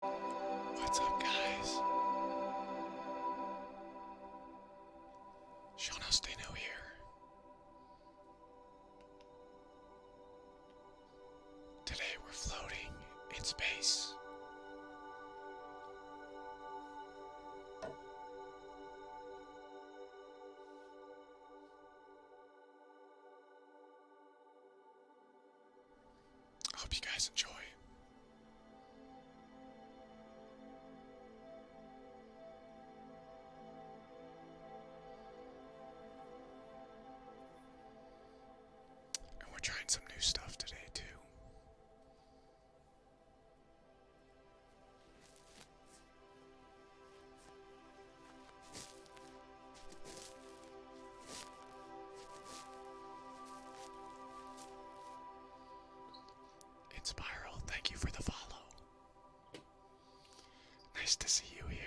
What's up, guys? Jonas Dino here. Today we're floating in space. I hope you guys enjoy. And we're trying some new stuff today, too. It's Spiral, thank you for the follow. Nice to see you here.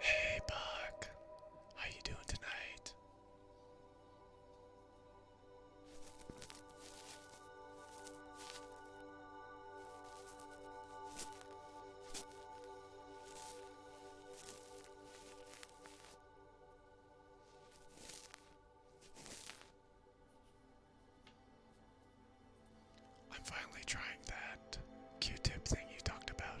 Hey Buck, how you doing tonight? I'm finally trying that Q-tip thing you talked about.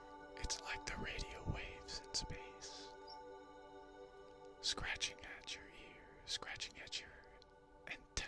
It's like the radio waves in space, scratching at your ear, scratching at your antenna.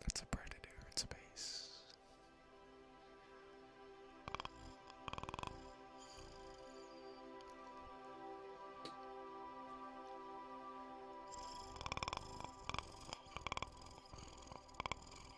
That's a predator in space.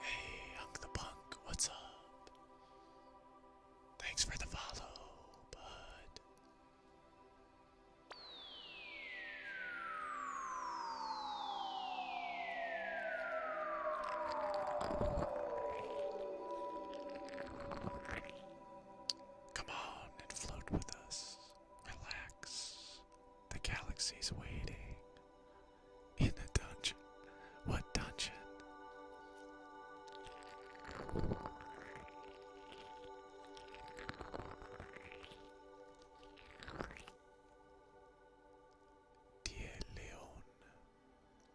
Hey, Hunk the Punk, what's up? Thanks for the follow, bud. Come on and float with us. Relax. The galaxy's waiting. In a dungeon. What dungeon? Dear Leon.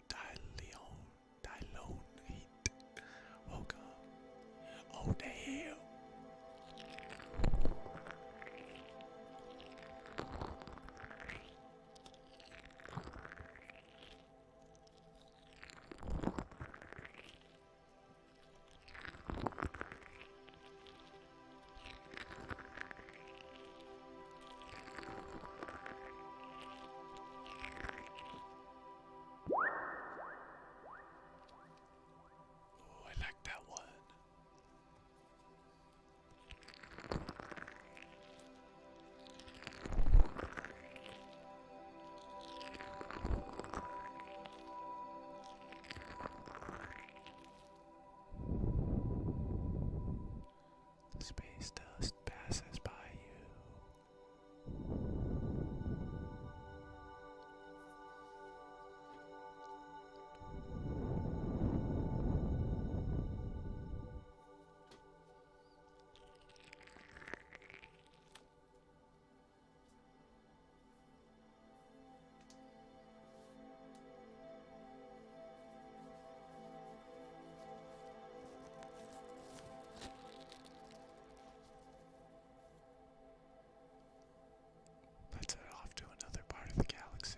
dear Leon. Die Leon. Heat. Welcome. Oh, damn. Oh, I like that one. Space dust passes by you. Let's head off to another part of the galaxy.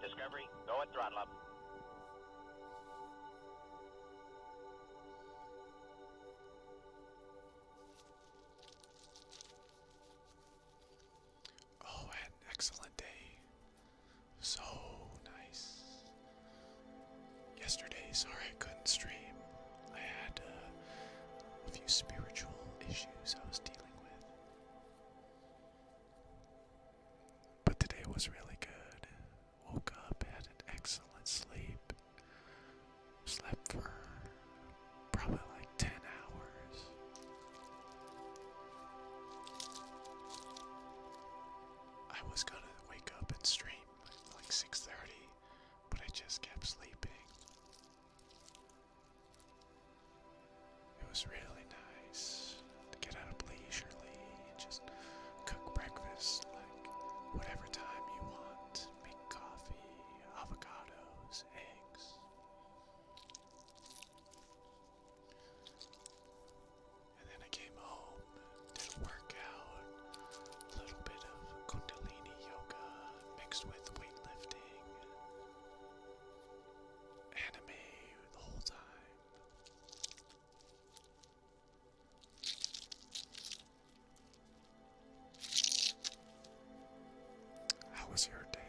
Discovery, go at throttle up. Oh, an excellent day. So nice. Yesterday, sorry I couldn't stream. I had uh, a few spiritual issues I was dealing with. But today was really good woke up, had an excellent sleep, slept for probably like 10 hours. I was gonna wake up and stream like 6.30, but I just kept sleeping. It was really nice to get up leisurely just cook breakfast like whatever time you want, make coffee, avocados, eggs. And then I came home, did a workout, a little bit of Kundalini yoga mixed with weightlifting, anime the whole time. How was your day?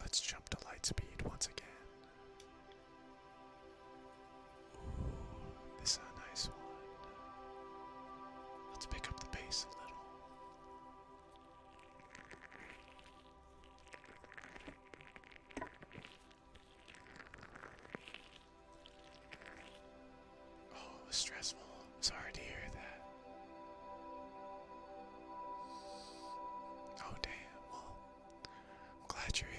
Let's jump to lightspeed once again. This is a nice one. Let's pick up the pace a little. Oh, stressful. Sorry to hear that. Oh, damn. Well, I'm glad you're here.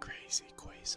Crazy quasars.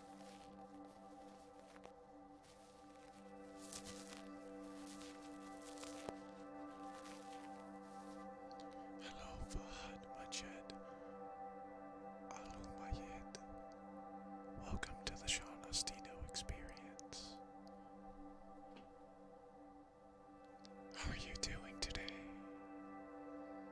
Hello, Fahad Majed Alu Welcome to the Sean experience. How are you doing today?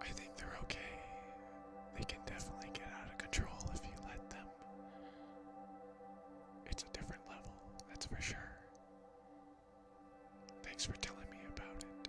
I think they're okay. They can definitely get out of control if you let them. It's a different level, that's for sure. Thanks for telling me about it.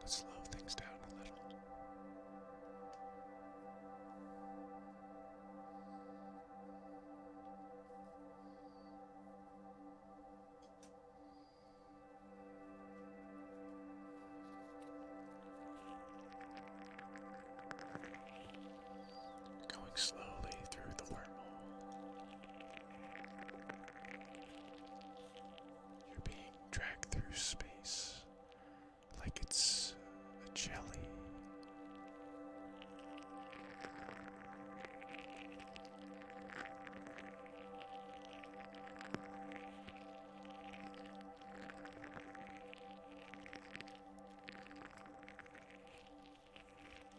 Let's slow things down a little. Going slowly through the wormhole. You're being dragged through space like it's a jelly.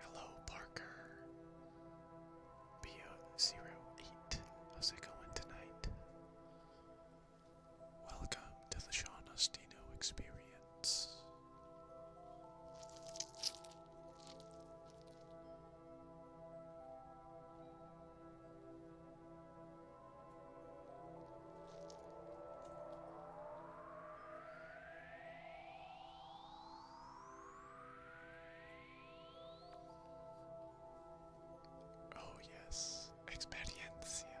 Hello, Parker. BO08. How's it going tonight? Welcome to the Sean Ostino experience. Oh, yes, experiencia.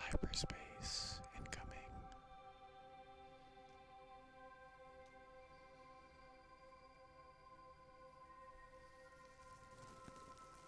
Hyperspace incoming.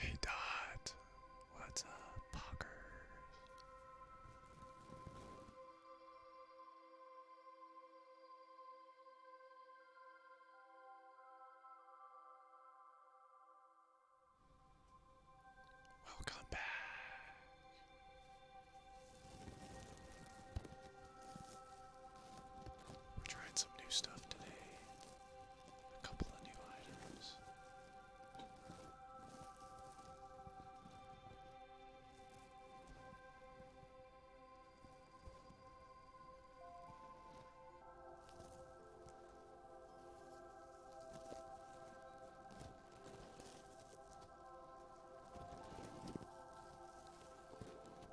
Hey Dot, what's up, Pockers? Welcome back. We're trying some new stuff today. A couple of new items.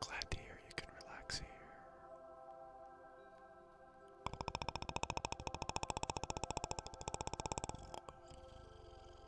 Glad to hear you can relax here.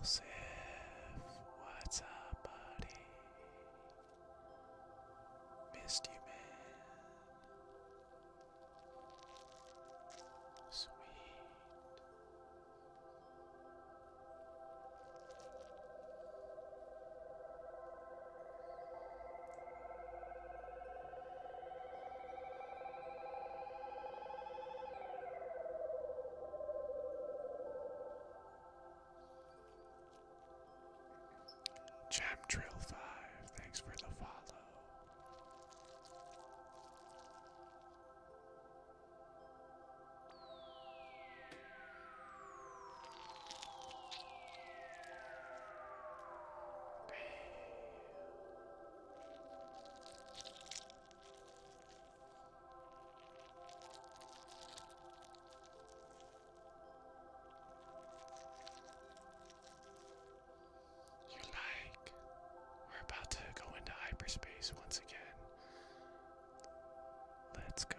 Elsif, what's up, buddy? Missed you, man. Sweet. Jam Trail 5, thanks for the follow. You like? We're about to go into hyperspace once again. Let's go.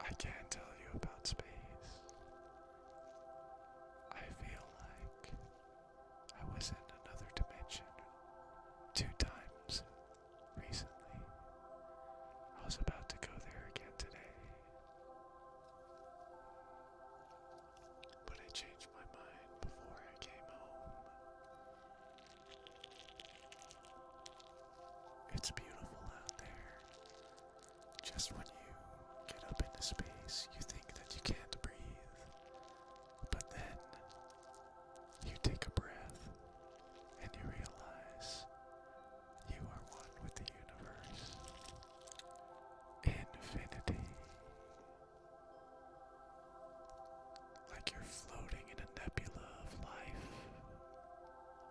I can't tell you about space. I feel like I was in another dimension two times recently. I was about to go there again today. But I changed my mind before I came home. It's beautiful out there. Just when you get up into space, you think that you can't breathe. But then you take a breath and you realize you are one with the universe. Infinity. Like you're floating in a nebula of life.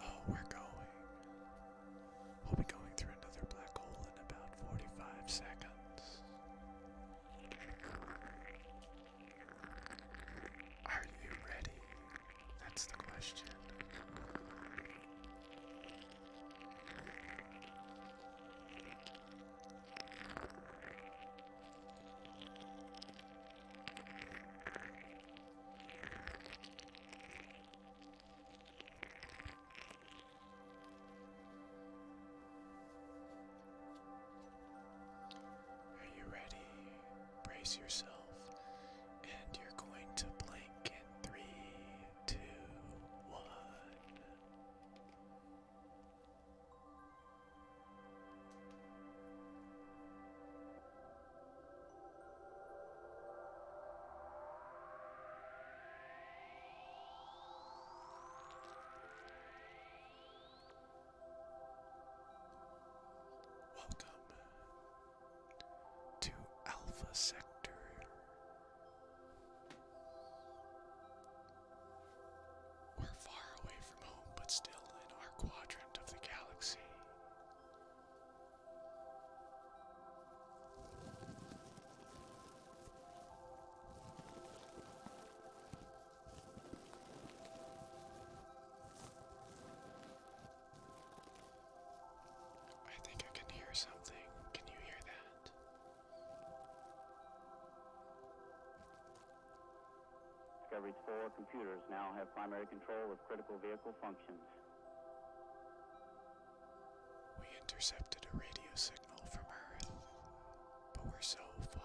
Oh, we're going. We'll be going through another black hole in about 45 seconds. Are you ready? That's the question. Are you ready? Brace yourself, and you're going to blink in three, two, one. Welcome to Alpha Sector. We're far away from home, but still in our quadrant of the galaxy. I think I can hear something. Can you hear that? Discovery's four computers now have primary control of critical vehicle functions. We intercepted a radio signal signal from Earth, but we're so far.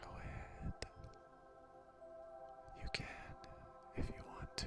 Go ahead. You can, if you want to,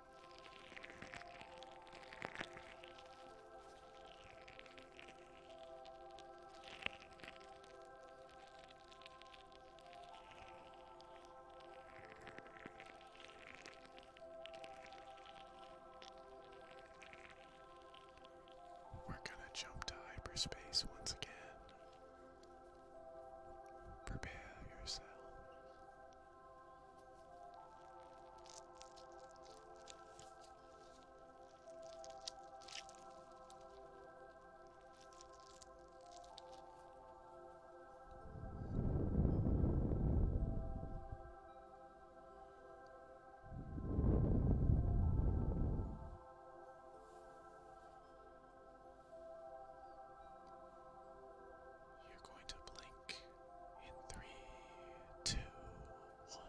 We're going to jump to hyperspace once again. Prepare yourself. You're going to blink mic in three, two, one.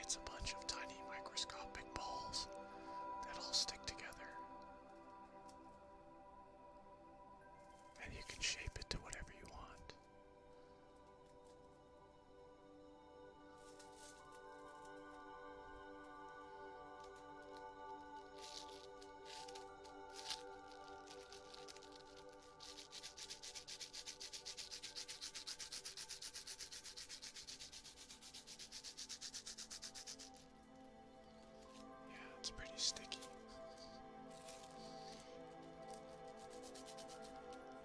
It's a bunch of tiny microscopic balls that all stick together. And you can shape it to whatever you want. Yeah, it's pretty sticky.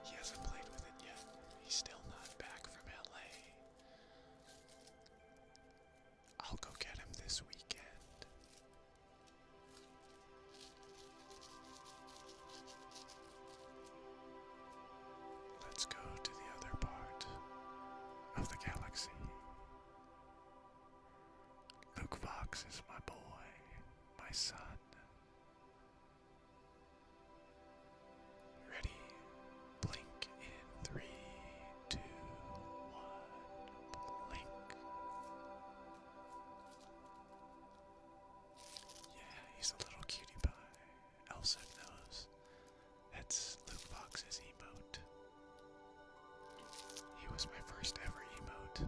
He hasn't played with it yet. He's still not back from LA. I'll go get him this weekend. Let's go to the other part of the galaxy. Luke Fox is my boy, my son. Ready? Blink in three, two, one, blink. Yeah, he's a little cutie pie. Elsa knows. That's Luke Fox's emote. He was my first ever emote.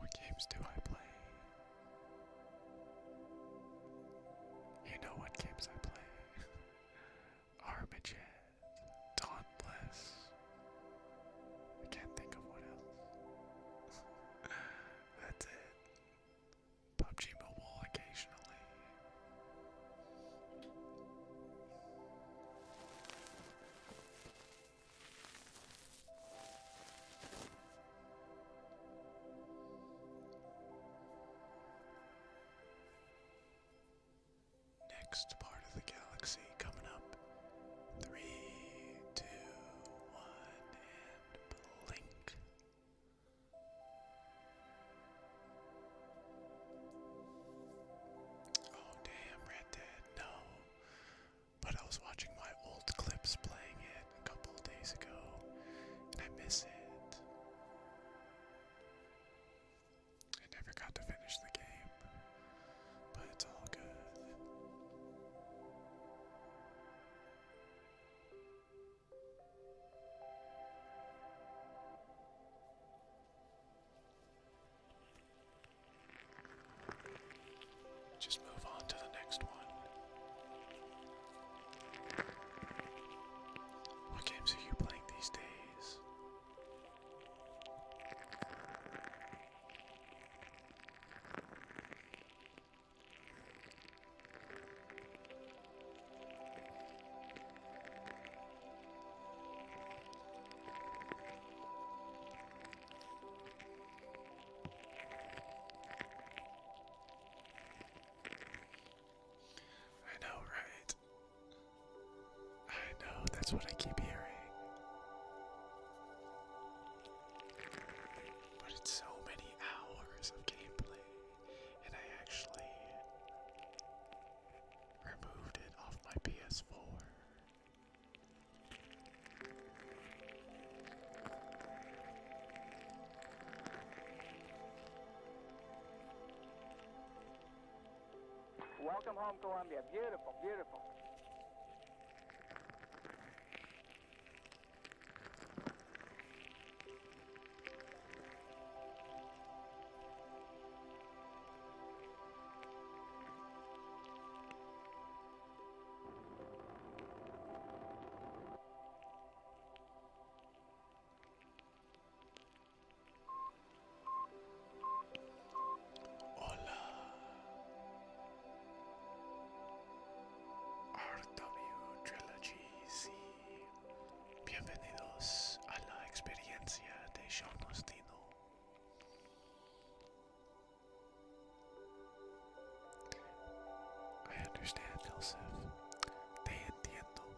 What games do I play? You know what games I play. Armageddon, Dauntless. I can't think of what else. That's it. PUBG Mobile occasionally. Next part of the galaxy coming up. Three, two, one, and blink. Oh, damn, Red Dead, no. But I was watching my old clips playing it a couple days ago, and I miss it. I never got to finish the game, but it's all good. Just move on to the next one. What games are you playing these days? I know, right? I know, that's what I keep hearing. But it's so many hours of gameplay, and I actually removed it off my PS4. Welcome home, Colombia. Beautiful, beautiful. Hola. RW Trilogy C. Bienvenidos a la experiencia de John Mostino. I understand, Joseph. Te entiendo.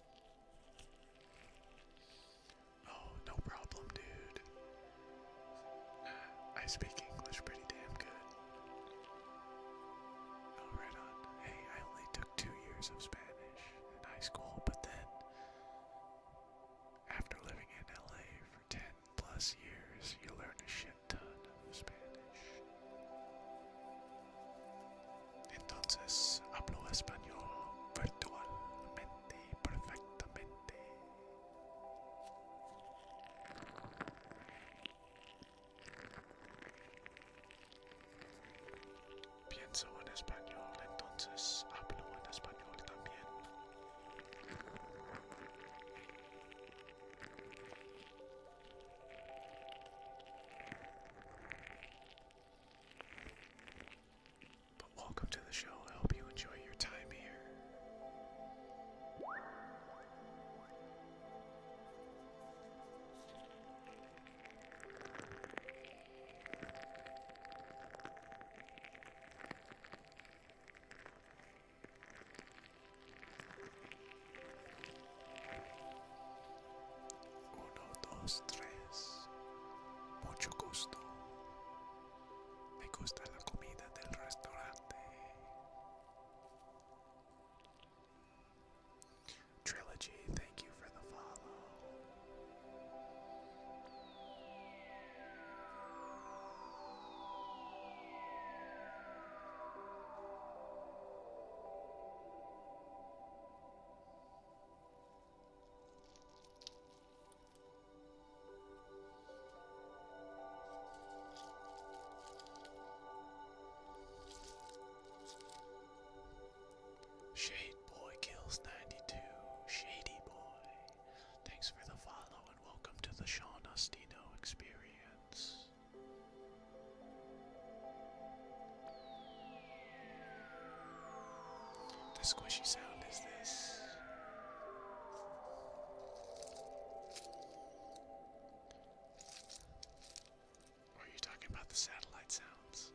Oh, no problem, dude. I speak English pretty damn good. Oh, on. Hey, I only took two years of Spanish in high school, but then after living in LA for 10 plus years, you learn a shit ton of Spanish. Entonces hablo español virtualmente perfectamente. Pienso en español, entonces hablo en español también. But welcome to the show. I hope you enjoy your time here. Uno, dos, tres. Mucho gusto. Me gusta la comida del restaurante. Trilogy, thank you for the follow. Shade Boy Kills 92, Shady Boy. Thanks for the follow and welcome to the Sean Ostino experience. The squishy sound is this. are you talking about the satellite sounds?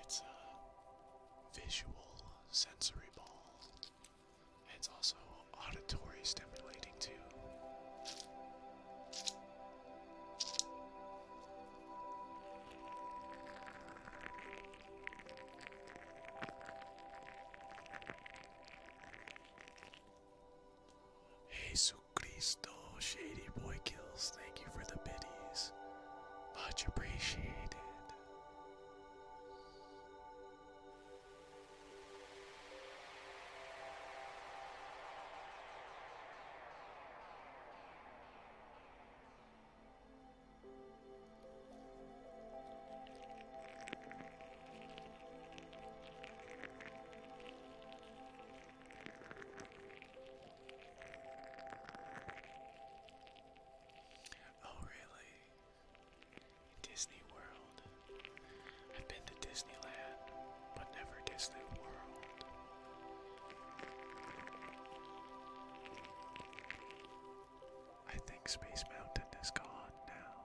It's uh visual sensory ball. it's also auditory stimulating too. Jesus Cristo, Shady Boy Kills, thank you for the biddies. Much appreciated. Oh, really? Disney World. I've been to Disneyland, but never Disney World. I think Space Mountain is gone now.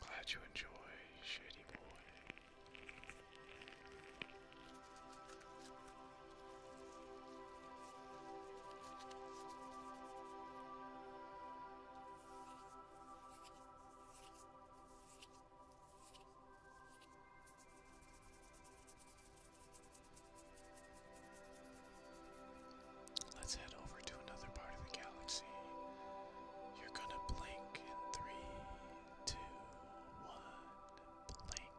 Glad you enjoy, shady boy. Let's head over to another part of the galaxy. You're gonna blink in three, two, one, blink.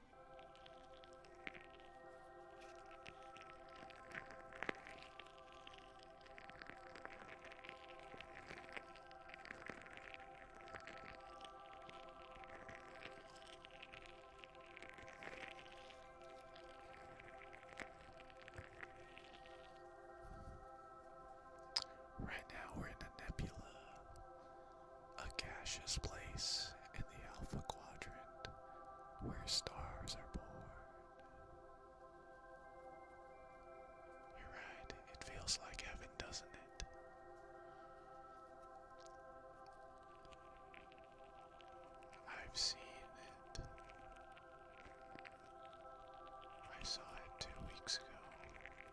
Right now we're in a nebula, a gaseous place, in the Alpha Quadrant, where stars are born. You're right, it feels like heaven, doesn't it? I've seen it. I saw it two weeks ago.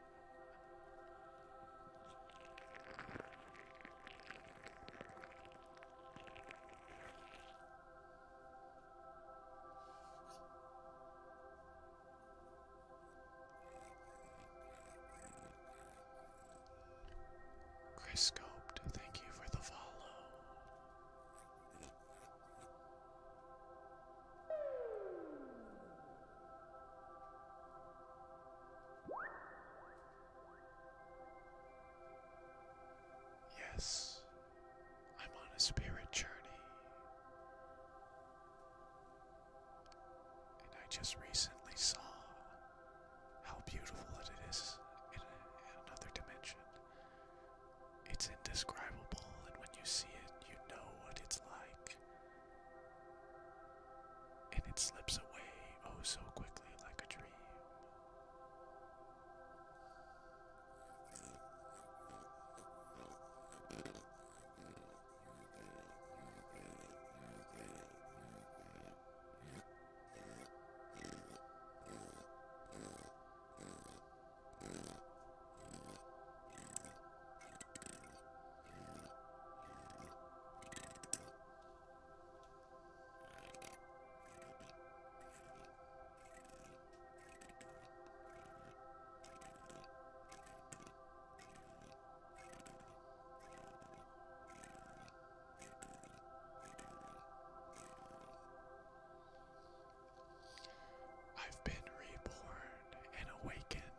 Chris Scoped, thank you for the follow. Yes, I'm on a spirit journey. And I just recently saw how beautiful it is in, in another dimension. It's indescribable, and when you see it, you know what it's like. And it slips away oh so quickly like a dream. I've been reborn and awakened.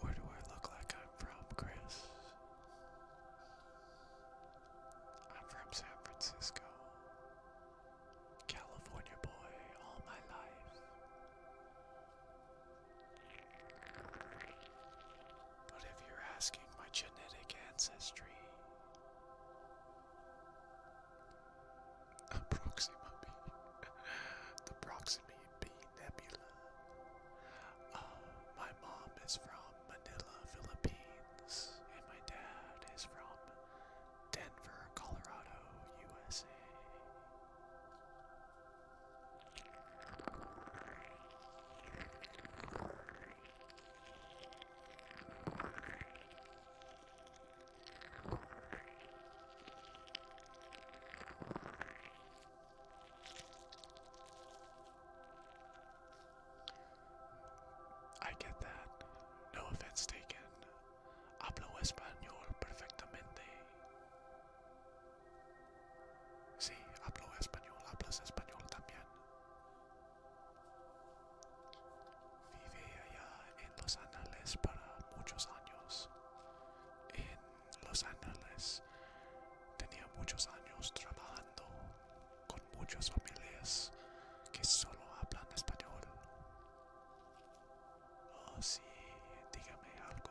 Where do I look like I'm from, Chris? I'm from San Francisco. California boy all my life. But if you're asking my genetic ancestry, Proxima the Proxima B Nebula. Uh, my mom is from Manila, Philippines, and my dad is from Denver, Colorado, USA. I get that. No offense taken. Hablo español perfectamente. Sí, hablo español, hablas español también. Vive allá en Los Ángeles para muchos años. En Los Ángeles tenía muchos años trabajando con muchas familias que solo hablan español. Oh, sí, dígame algo.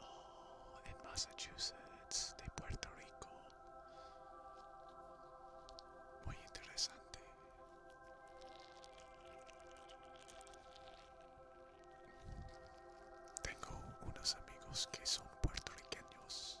Oh, en Massachusetts de Puerto Rico. Muy interesante. Tengo unos amigos que son puertorriqueños.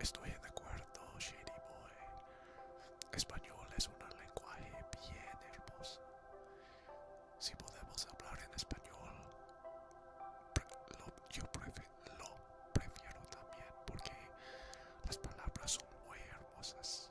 estoy de acuerdo, Shady Boy. Español es un lenguaje bien hermoso. Si podemos hablar en español, yo lo prefiero también porque las palabras son muy hermosas.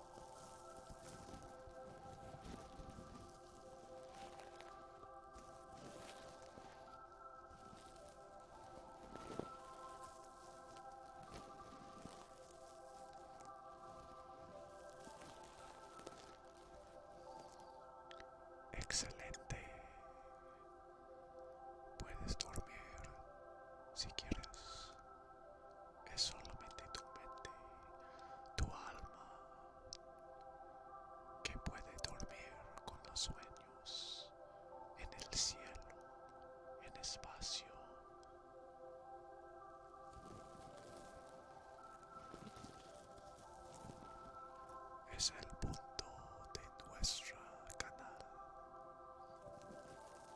Excelente. Puedes dormir si quieres es solamente tu mente, tu alma, que puede dormir con los sueños en el cielo, en espacio. Es el punto de nuestra canal.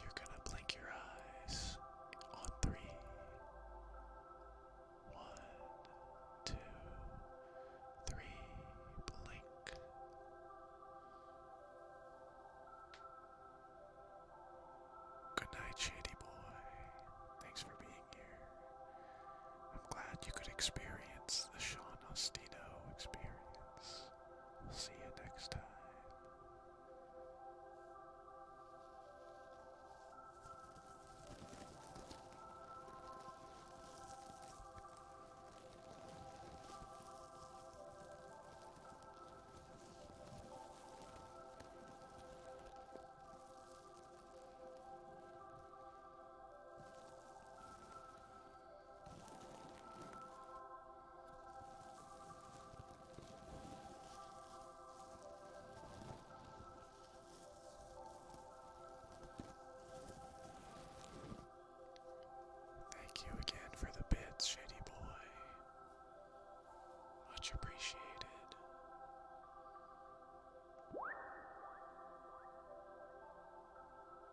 You're gonna blink your eyes on three. One, blink. Good night, Shady Boy. Thanks for being here. I'm glad you could experience the Sean Ostino experience. See you next time. Thank you again for the bits, Shady Boy. Much appreciated.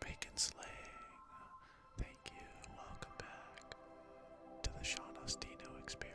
Bacon Slang, thank you, welcome back to the Sean Ostino experience.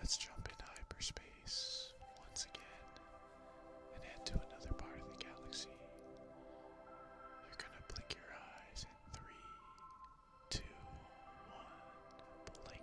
Let's jump into hyperspace once again and head to another part of the galaxy. You're gonna blink your eyes in three, two, one, blink.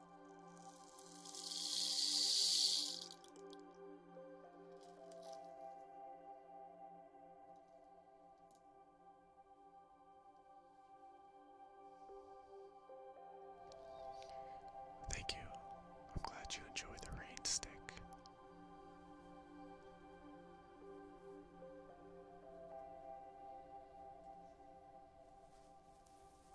Thank you. I'm glad you enjoyed the rain stick.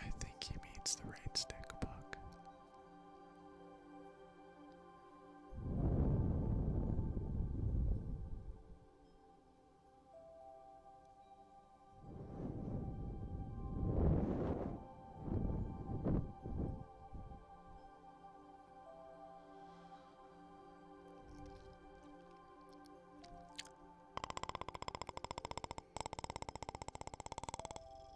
I think he means the rainstick stick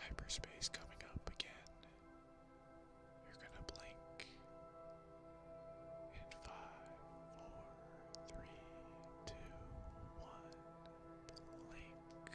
Hyperspace coming up again. You're gonna blink in five, four, three, two, one lake.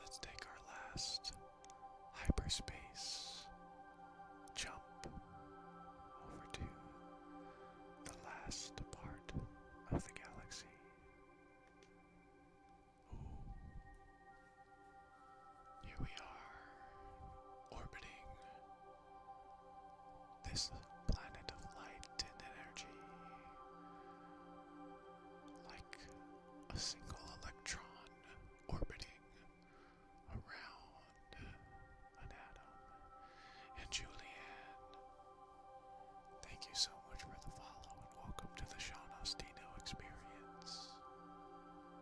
Let's take our last hyperspace jump over to the last part of the galaxy. Here we are, orbiting this planet of light and energy like a single electron orbiting around an atom. And Julianne, thank you so much for the follow and welcome to the Sean Ostino experience.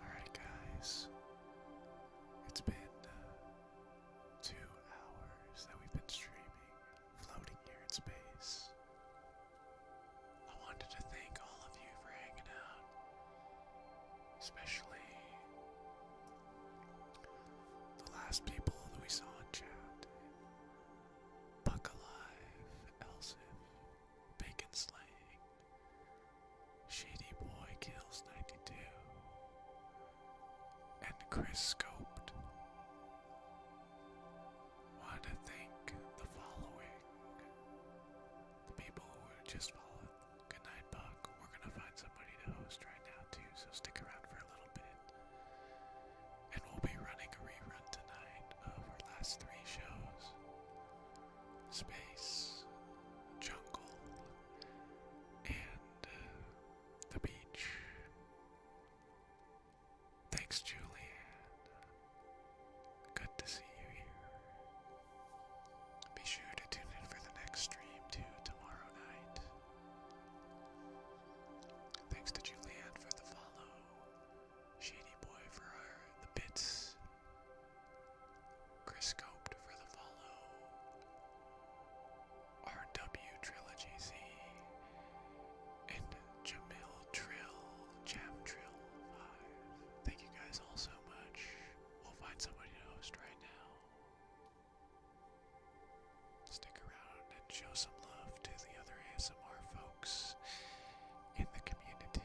Alright, guys. It's been uh, two hours that we've been streaming, floating here in space. I wanted to thank all of you for hanging out, especially the last people that we saw in chat Buck Alive, Elson, Shady Boy kills 92. And Chris Scoped. Want to thank the following. The people who just followed. Good night, Buck. We're gonna find somebody to host right now too, so stick around for a little bit. And we'll be running a rerun tonight of our last three shows space, jungle, and uh, the beach. Thanks, Julian. Good to see you here. Be sure to tune in for the next stream too tomorrow night. Thanks to Julianne for the follow, Shady Boy for the bits, Chris Scoped for the follow. RW Trilogy Z. And Jamil Trill, Jam Trill 5. Thank you guys all so much. We'll find somebody to host right now. Stick around and show some love to the other ASMR folks in the community.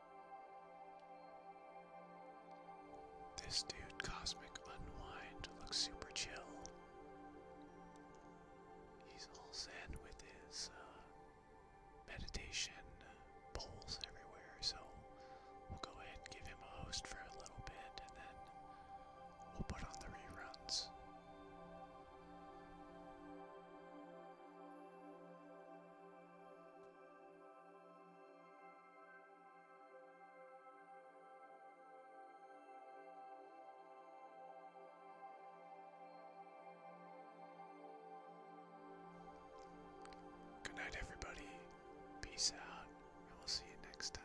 This dude, Cosmic Unwind, looks super chill. He's all zen with his uh, meditation bowls uh, everywhere, so we'll go ahead and give him a host for a little bit and then we'll put on the reruns. Good night, everybody. Peace out, and we'll see you next time.